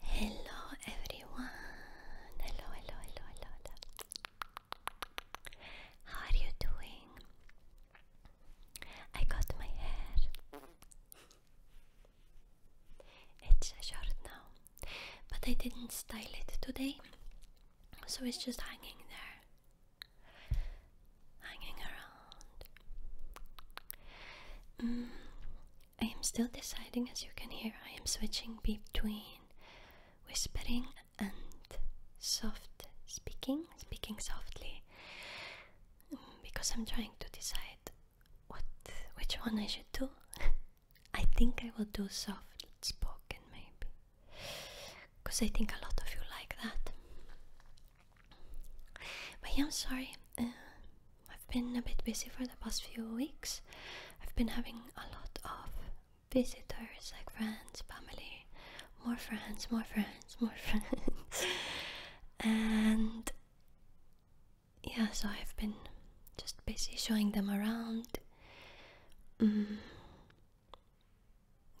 Hello everyone. Hello, hello, hello, hello, How are you doing? I got my hair. It's short now, but I didn't style it today, so it's just hanging there hanging around. Mm, I am still deciding, as you can hear, I am switching between whispering and soft speaking, speaking softly, mm, because I'm trying to decide what which one I should do. I think I will do soft spoken maybe, because I think a lot of you like that. But yeah, I'm sorry. Uh, I've been a bit busy for the past few weeks. I've been having a lot of visitors, like friends, family, more friends, more friends, more friends. and yeah, so I've been just busy showing them around. Mm.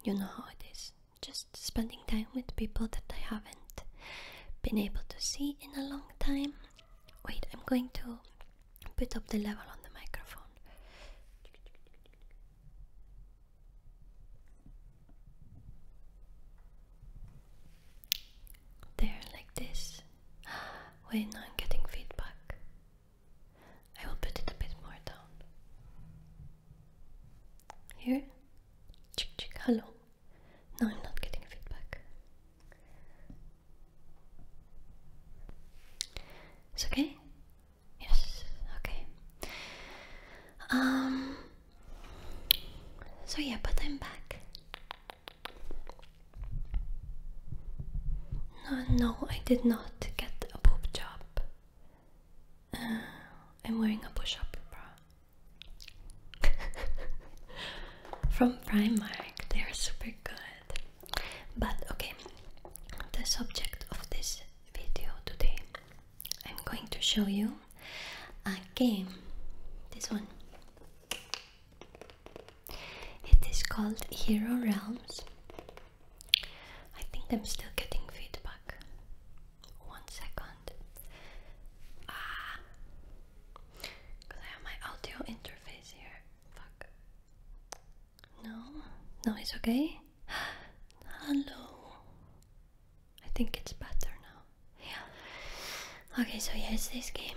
You know how it is just spending time with people that I haven't been able to see in a long time. Wait, I'm going to put up the level on the microphone. There, like this. Wait, no, I'm getting feedback. I will put it a bit more down. Here? Chick chick, hello. No, I'm not getting feedback. It's okay? Yes, okay. Um so yeah, but I'm back. No, no, I did not get a boob job. I'm wearing a push-up bra from Primark. They are super good. But okay, the subject of this video today, I'm going to show you a game. This one. It is called Hero Realms. I think I'm still getting feedback. One second. Ah, because I have my audio interface here. Fuck. No, no, it's okay. Hello. I think it's better now. Yeah. Okay, so yes, this game.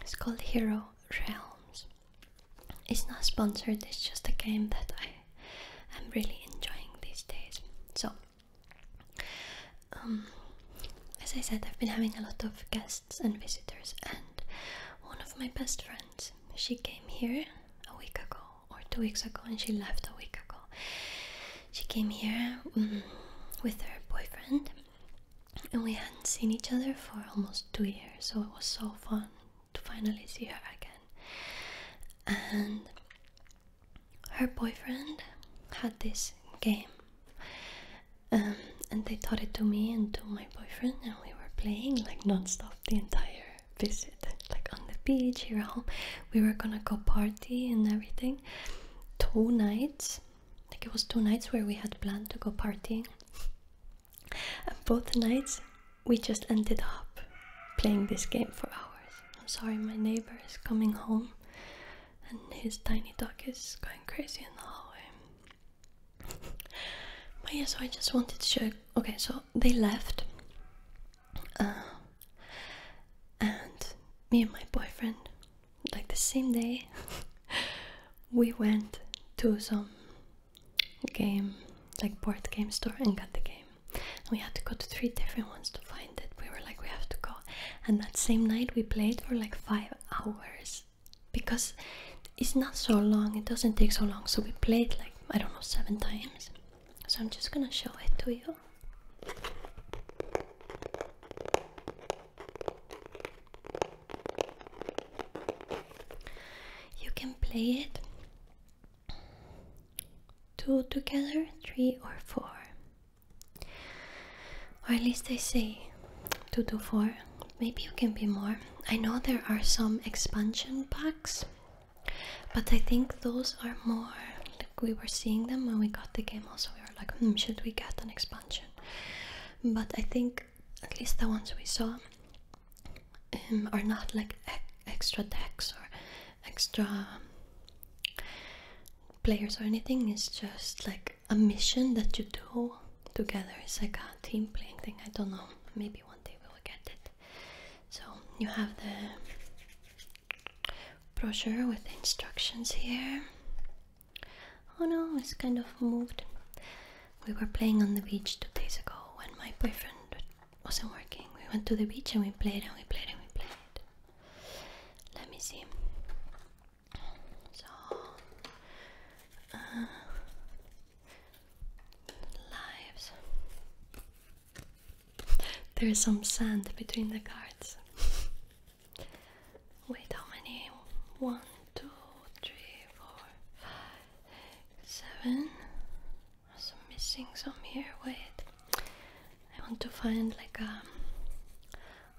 It's called Hero Realms. It's not sponsored, it's just a game that I I'm really enjoying these days. So, um, as I said, I've been having a lot of guests and visitors, and one of my best friends, she came here a week ago or two weeks ago, and she left a week ago. She came here mm, with her boyfriend, and we hadn't seen each other for almost two years, so it was so fun to finally see her again. And her boyfriend had this game, um, and they taught it to me and to my boyfriend, and we were playing like non-stop the entire visit, like on the beach here at home. We were gonna go party and everything. Two nights, like it was two nights where we had planned to go partying. And both nights we just ended up playing this game for hours. I'm sorry, my neighbor is coming home and his tiny dog is going crazy in the hallway. but yeah, so I just wanted to show. Okay, so they left. Uh, and me and my boyfriend, like the same day, we went to some game, like board game store, and got the game. we had to go to three different ones to find it. We were like, we have to go. And that same night, we played for like five hours because it's not so long. It doesn't take so long. So we played like I don't know seven times. So I'm just gonna show it to you. You can play it two together, three or four. Or at least I say two to four. Maybe you can be more. I know there are some expansion packs, but I think those are more like we were seeing them when we got the game. Also, we were like, hmm, should we get an expansion? But I think at least the ones we saw um, are not like extra decks or extra players or anything. It's just like a mission that you do together. It's like a team playing thing. I don't know. Maybe one day we will get it. So you have the brochure with the instructions here. Oh no, it's kind of moved. We were playing on the beach two days ago when my boyfriend wasn't working. We went to the beach and we played and we played and we played. Let me see. So, uh, lives. There's some sand between the cards. Wait, how many? One, two, three, four, five, seven. Also missing some here. Wait, I want to find like a um,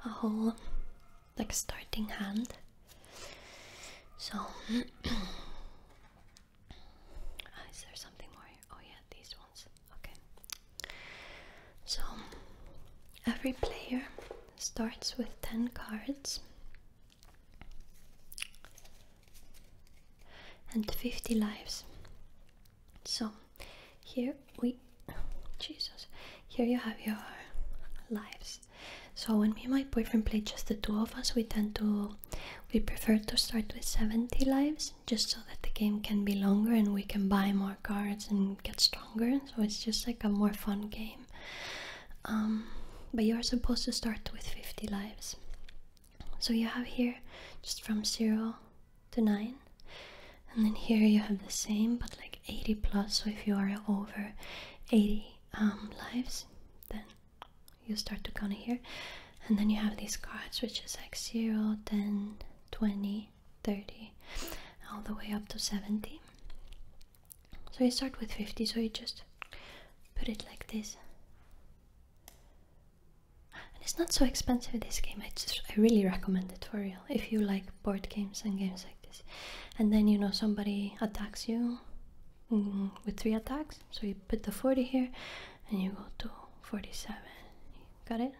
a whole like starting hand. So uh, is there something more? Here? Oh yeah, these ones. Okay. So every player starts with ten cards and 50 lives. So here we, Jesus, here you have your lives. So when me and my boyfriend play just the two of us, we tend to, we prefer to start with 70 lives just so that the game can be longer and we can buy more cards and get stronger. So it's just like a more fun game. Um, but you are supposed to start with 50 lives. So you have here just from 0 to 9. And then here you have the same, but like 80 plus. So if you are over 80 um, lives, then you start to count here. And then you have these cards, which is like 0, 10, 20, 30, all the way up to 70. So you start with 50, so you just put it like this. And it's not so expensive this game, I just I really recommend it for real. If you like board games and games like this. And then you know somebody attacks you mm, with three attacks. So you put the 40 here and you go to 47. Got it?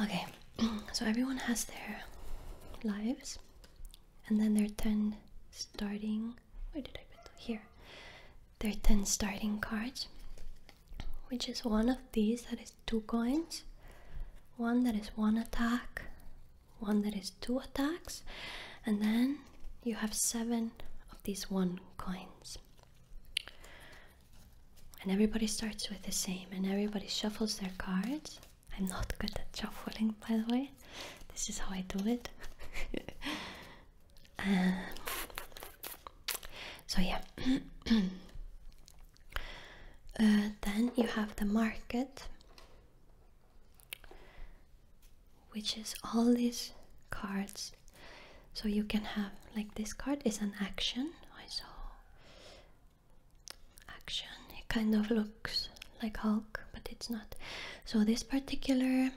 Okay, so everyone has their lives and then there are 10 starting where did I put here there are 10 starting cards which is one of these that is two coins one that is one attack one that is two attacks and then you have seven of these one coins and everybody starts with the same and everybody shuffles their cards I'm not good at shuffling, by the way. This is how I do it. Um, so yeah. Uh, then you have the market, which is all these cards. So you can have like this card is an action. I saw action. It kind of looks like Hulk, but it's not. So this particular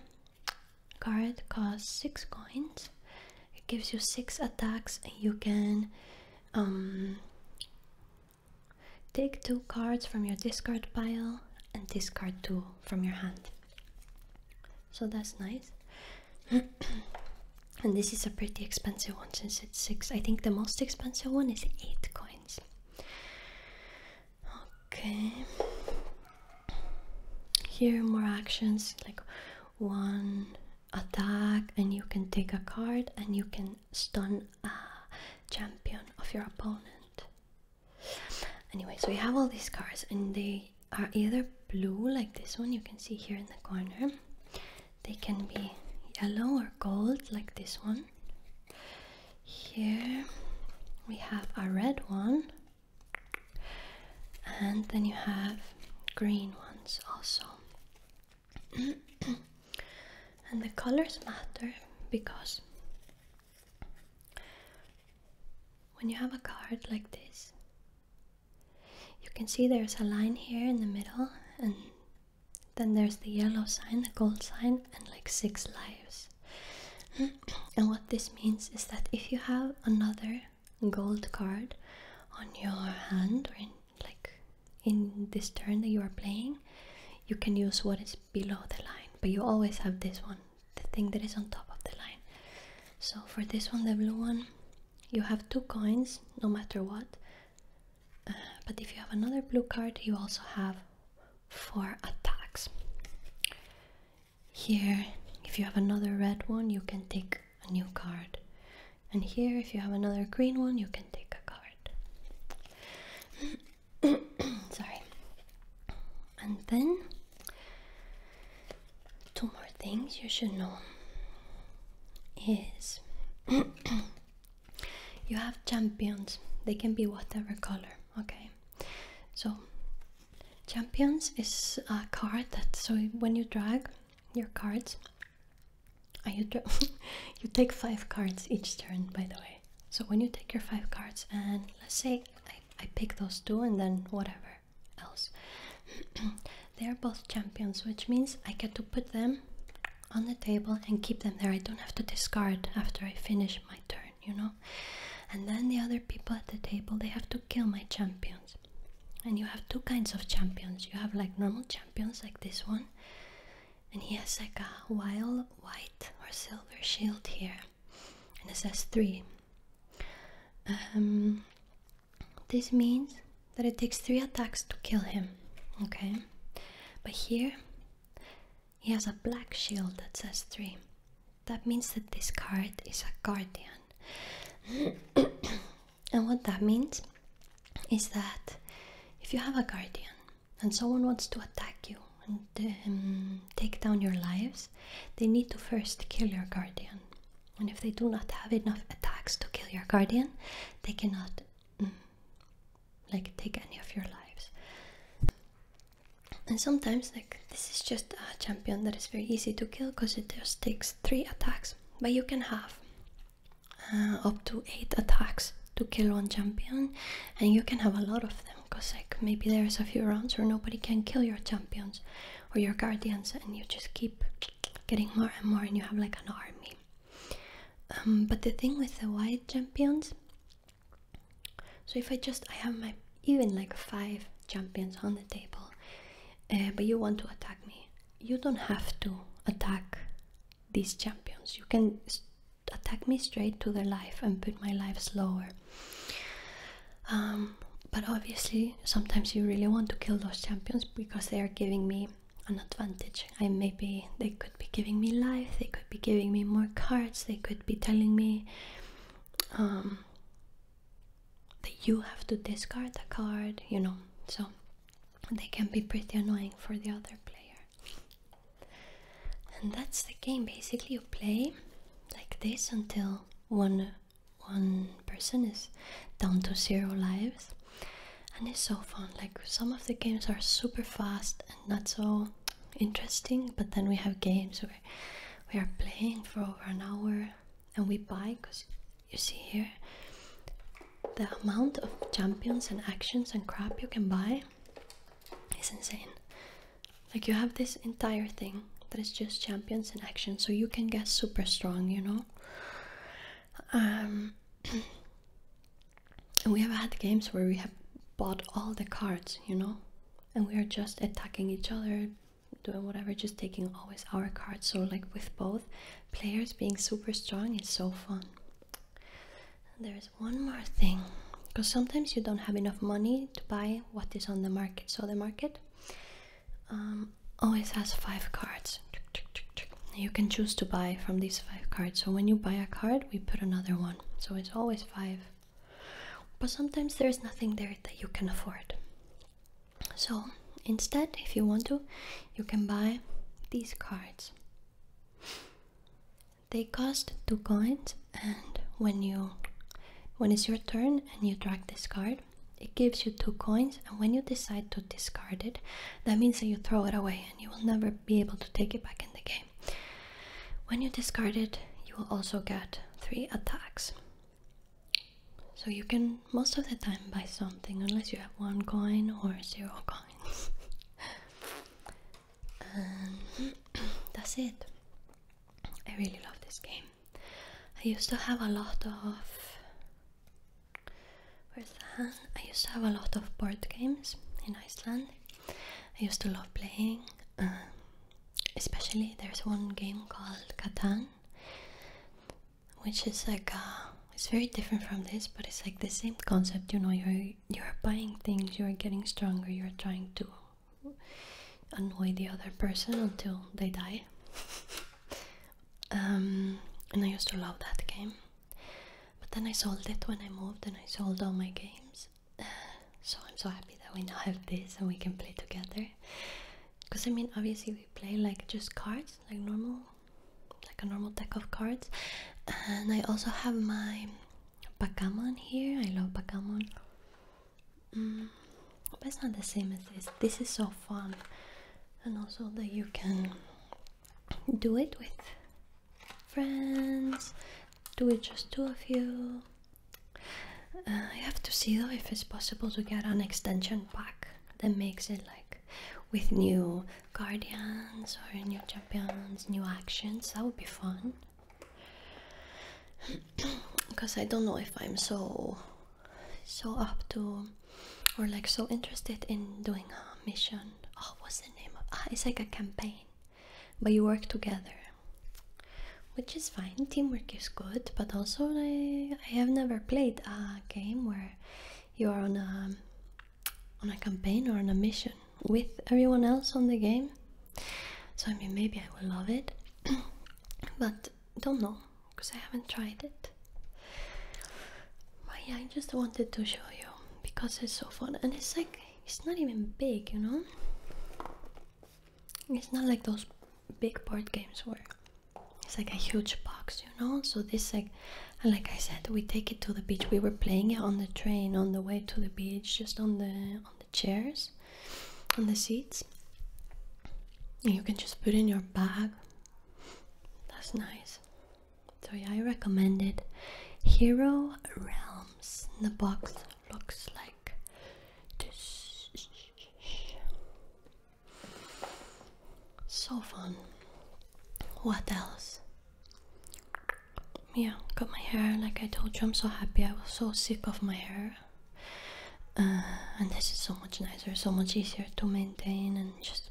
card costs six coins. It gives you six attacks, and you can um, take two cards from your discard pile and discard two from your hand. So that's nice. and this is a pretty expensive one since it's six. I think the most expensive one is eight coins. Okay. Here more actions like one attack and you can take a card and you can stun a champion of your opponent. Anyway, so you have all these cards and they are either blue like this one you can see here in the corner. They can be yellow or gold like this one. Here we have a red one, and then you have green ones also. and the colors matter because when you have a card like this, you can see there's a line here in the middle, and then there's the yellow sign, the gold sign, and like six lives. and what this means is that if you have another gold card on your hand or in like in this turn that you are playing, you can use what is below the line, but you always have this one, the thing that is on top of the line. So for this one, the blue one, you have two coins no matter what. Uh, but if you have another blue card, you also have four attacks. Here, if you have another red one, you can take a new card. And here, if you have another green one, you can take a card. Sorry. And then, two more things you should know is you have champions they can be whatever color okay so champions is a card that so when you drag your cards you, take five cards each turn by the way so when you take your five cards and let's say I pick those two and then whatever else they are both champions which means i get to put them on the table and keep them there. I don't have to discard after I finish my turn, you know? And then the other people at the table, they have to kill my champions. And you have two kinds of champions. You have like normal champions, like this one. And he has like a wild white or silver shield here. And it says three. Um, this means that it takes three attacks to kill him. Okay? But here, he has a black shield that says three. That means that this card is a guardian. and what that means is that if you have a guardian and someone wants to attack you and um, take down your lives, they need to first kill your guardian. And if they do not have enough attacks to kill your guardian, they cannot Mm. like take any of your lives and sometimes like this is just a champion that is very easy to kill because it just takes three attacks but you can have uh, up to eight attacks to kill one champion and you can have a lot of them because like maybe there's a few rounds where nobody can kill your champions or your guardians and you just keep getting more and more and you have like an army um, but the thing with the white champions, so if I just, I have my, even like five champions on the table, uh, but you want to attack me, you don't have to attack these champions. You can attack me straight to their life and put my life slower. Um, but obviously, sometimes you really want to kill those champions because they are giving me an advantage. I maybe they could be giving me life, they could be giving me more cards, they could be telling me um, that you have to discard a card, you know. So they can be pretty annoying for the other player. And that's the game. Basically, you play like this until one one person is down to zero lives and it's so fun. Like some of the games are super fast and not so interesting, but then we have games where we are playing for over an hour and we buy because you see here the amount of champions and actions and crap you can buy is insane. Like you have this entire thing that is just champions and actions, so you can get super strong, you know. Um, we have had games where we have bought all the cards, you know, and we are just attacking each other, doing whatever, just taking always our cards. So, like with both players being super strong, it's so fun. there's one more thing because sometimes you don't have enough money to buy what is on the market. So, the market. Um, always has five cards. You can choose to buy from these five cards. So when you buy a card, we put another one. So it's always five. But sometimes there's nothing there that you can afford. So instead, if you want to, you can buy these cards. They cost two coins, and when you when it's your turn and you drag this card, it gives you two coins, and when you decide to discard it, that means that you throw it away and you will never be able to take it back in the game. When you discard it, you will also get three attacks. So you can most of the time buy something unless you have one coin or zero coins. Um, that's it. I really love this game. I used to have a lot of Where's the I used to have a lot of board games in Iceland. I used to love playing. Um, especially there's one game called Catan, which is like uh, it's very different from this, but it's like the same concept. You know, you're you're buying things, you're getting stronger, you're trying to annoy the other person until they die. Um, and I used to love that game. But then I sold it when I moved, and I sold all my games. so I'm so happy that we now have this and we can play together. Because I mean, obviously we play like just cards, like normal, like a normal deck of cards. And I also have my Pokemon here. I love Pokemon. Mm, but it's not the same as this. This is so fun and also that you can do it with friends, do it just two of you. Uh, I have to see though if it's possible to get an extension pack that makes it like with new guardians or new champions, new actions. That would be fun. because I don't know if I'm so so up to or like so interested in doing a mission. Oh, what's the name of? Ah, it's like a campaign, but you work together, which is fine. Teamwork is good, but also I, I have never played a game where you are on a on a campaign or on a mission with everyone else on the game. So I mean, maybe I will love it, but don't know because I haven't tried it. I just wanted to show you because it's so fun and it's like it's not even big, you know. It's not like those big board games were. It's like a huge box, you know. So this like, like I said, we take it to the beach. We were playing it on the train on the way to the beach, just on the on the chairs, on the seats. And you can just put in your bag that's nice. So yeah, I recommend it. Hero Realms. The box looks like this. So fun. What else? Yeah, cut my hair like I told you. I'm so happy. I was so sick of my hair. Uh, and this is so much nicer so much easier to maintain and just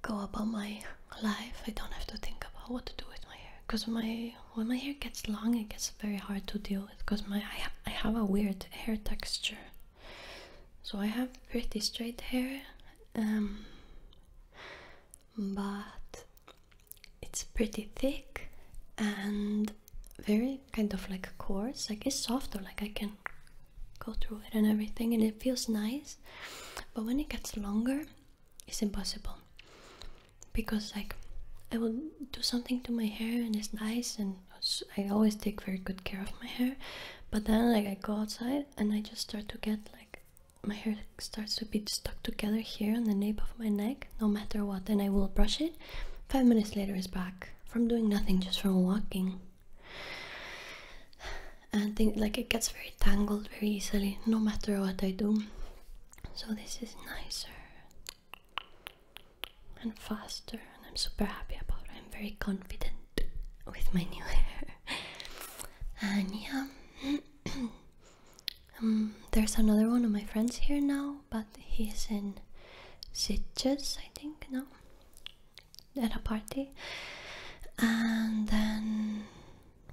go about my life i don't have to think about what to do with my hair because my when my hair gets long it gets very hard to deal with because my I, have a weird hair texture so i have pretty straight hair um, but it's pretty thick and very kind of like coarse like it's softer like i can go through it and everything and it feels nice but when it gets longer it's impossible because like i will do something to my hair and it's nice and i always take very good care of my hair but then like i go outside and i just start to get like my hair starts to be stuck together here on the nape of my neck no matter what and i will brush it Five minutes later is back from doing nothing, just from walking. And think like it gets very tangled very easily, no matter what I do. So this is nicer and faster, and I'm super happy about I'm very confident with my new hair. and yeah, um, there's another one of my friends here now, but but he's in Sitges, I think, no? At a party. And then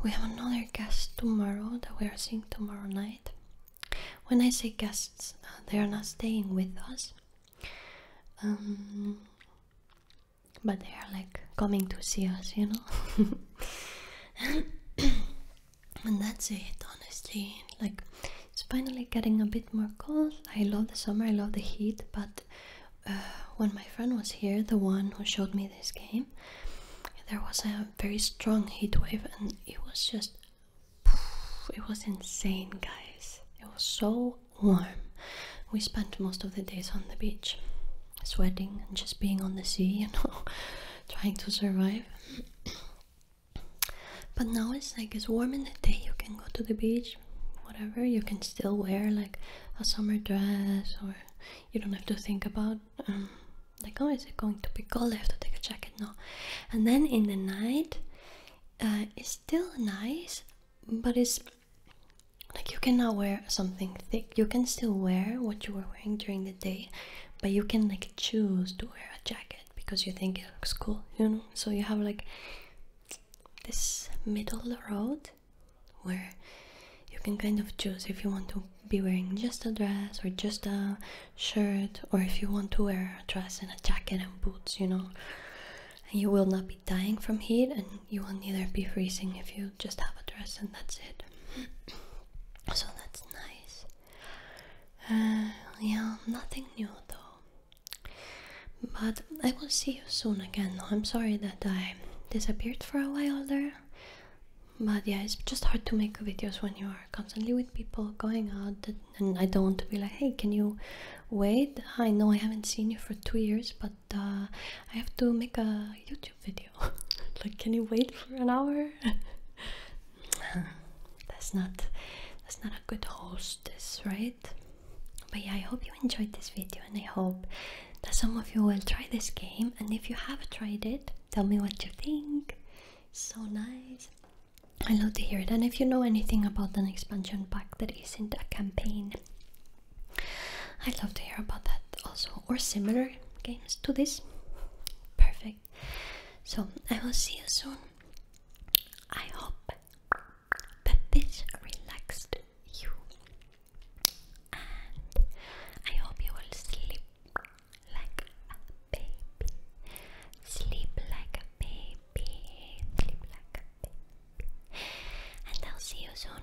we have another guest tomorrow that we are seeing tomorrow night. When I say guests, uh, they are not staying with us. Um, but they are like coming to see us, you know? and that's it honestly like it's finally getting a bit more cold i love the summer i love the heat but uh, when my friend was here the one who showed me this game there was a very strong heat wave and it was just it was insane guys it was so warm we spent most of the days on the beach sweating and just being on the sea you know trying to survive but now it's like it's warm in the day, you can go to the beach, whatever, you can still wear like a summer dress, or you don't have to think about um, like, oh, is it going to be cold? I have to take a jacket. No, and then in the night, uh, it's still nice, but it's like you cannot wear something thick. You can still wear what you were wearing during the day, but you can like choose to wear a jacket because you think it looks cool, you know? So you have like this middle road where you can kind of choose if you want to be wearing just a dress or just a shirt or if you want to wear a dress and a jacket and boots, you know? And you will not be dying from heat and you will neither be freezing if you just have a dress and that's it. so that's nice. Uh, yeah, nothing new though. But I will see you soon again. I'm sorry that I disappeared for a while there. But yeah, it's just hard to make videos when you are constantly with people going out, and I don't want to be like, hey, can you wait? I know I haven't seen you for two years, but uh, I have to make a YouTube video. like, can you wait for an hour? that's not that's not a good hostess, right? But yeah, I hope you enjoyed this video and I hope that some of you will try this game and if you have tried it, tell me what you think. So nice. I love to hear it. And if you know anything about an expansion pack that isn't a campaign, I'd love to hear about that also or similar games to this. Perfect. So I will see you soon. I hope that this relaxed you. And I hope you will sleep like a baby. Sleep like a baby. Sleep like a baby. And I'll see you soon.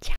Ciao.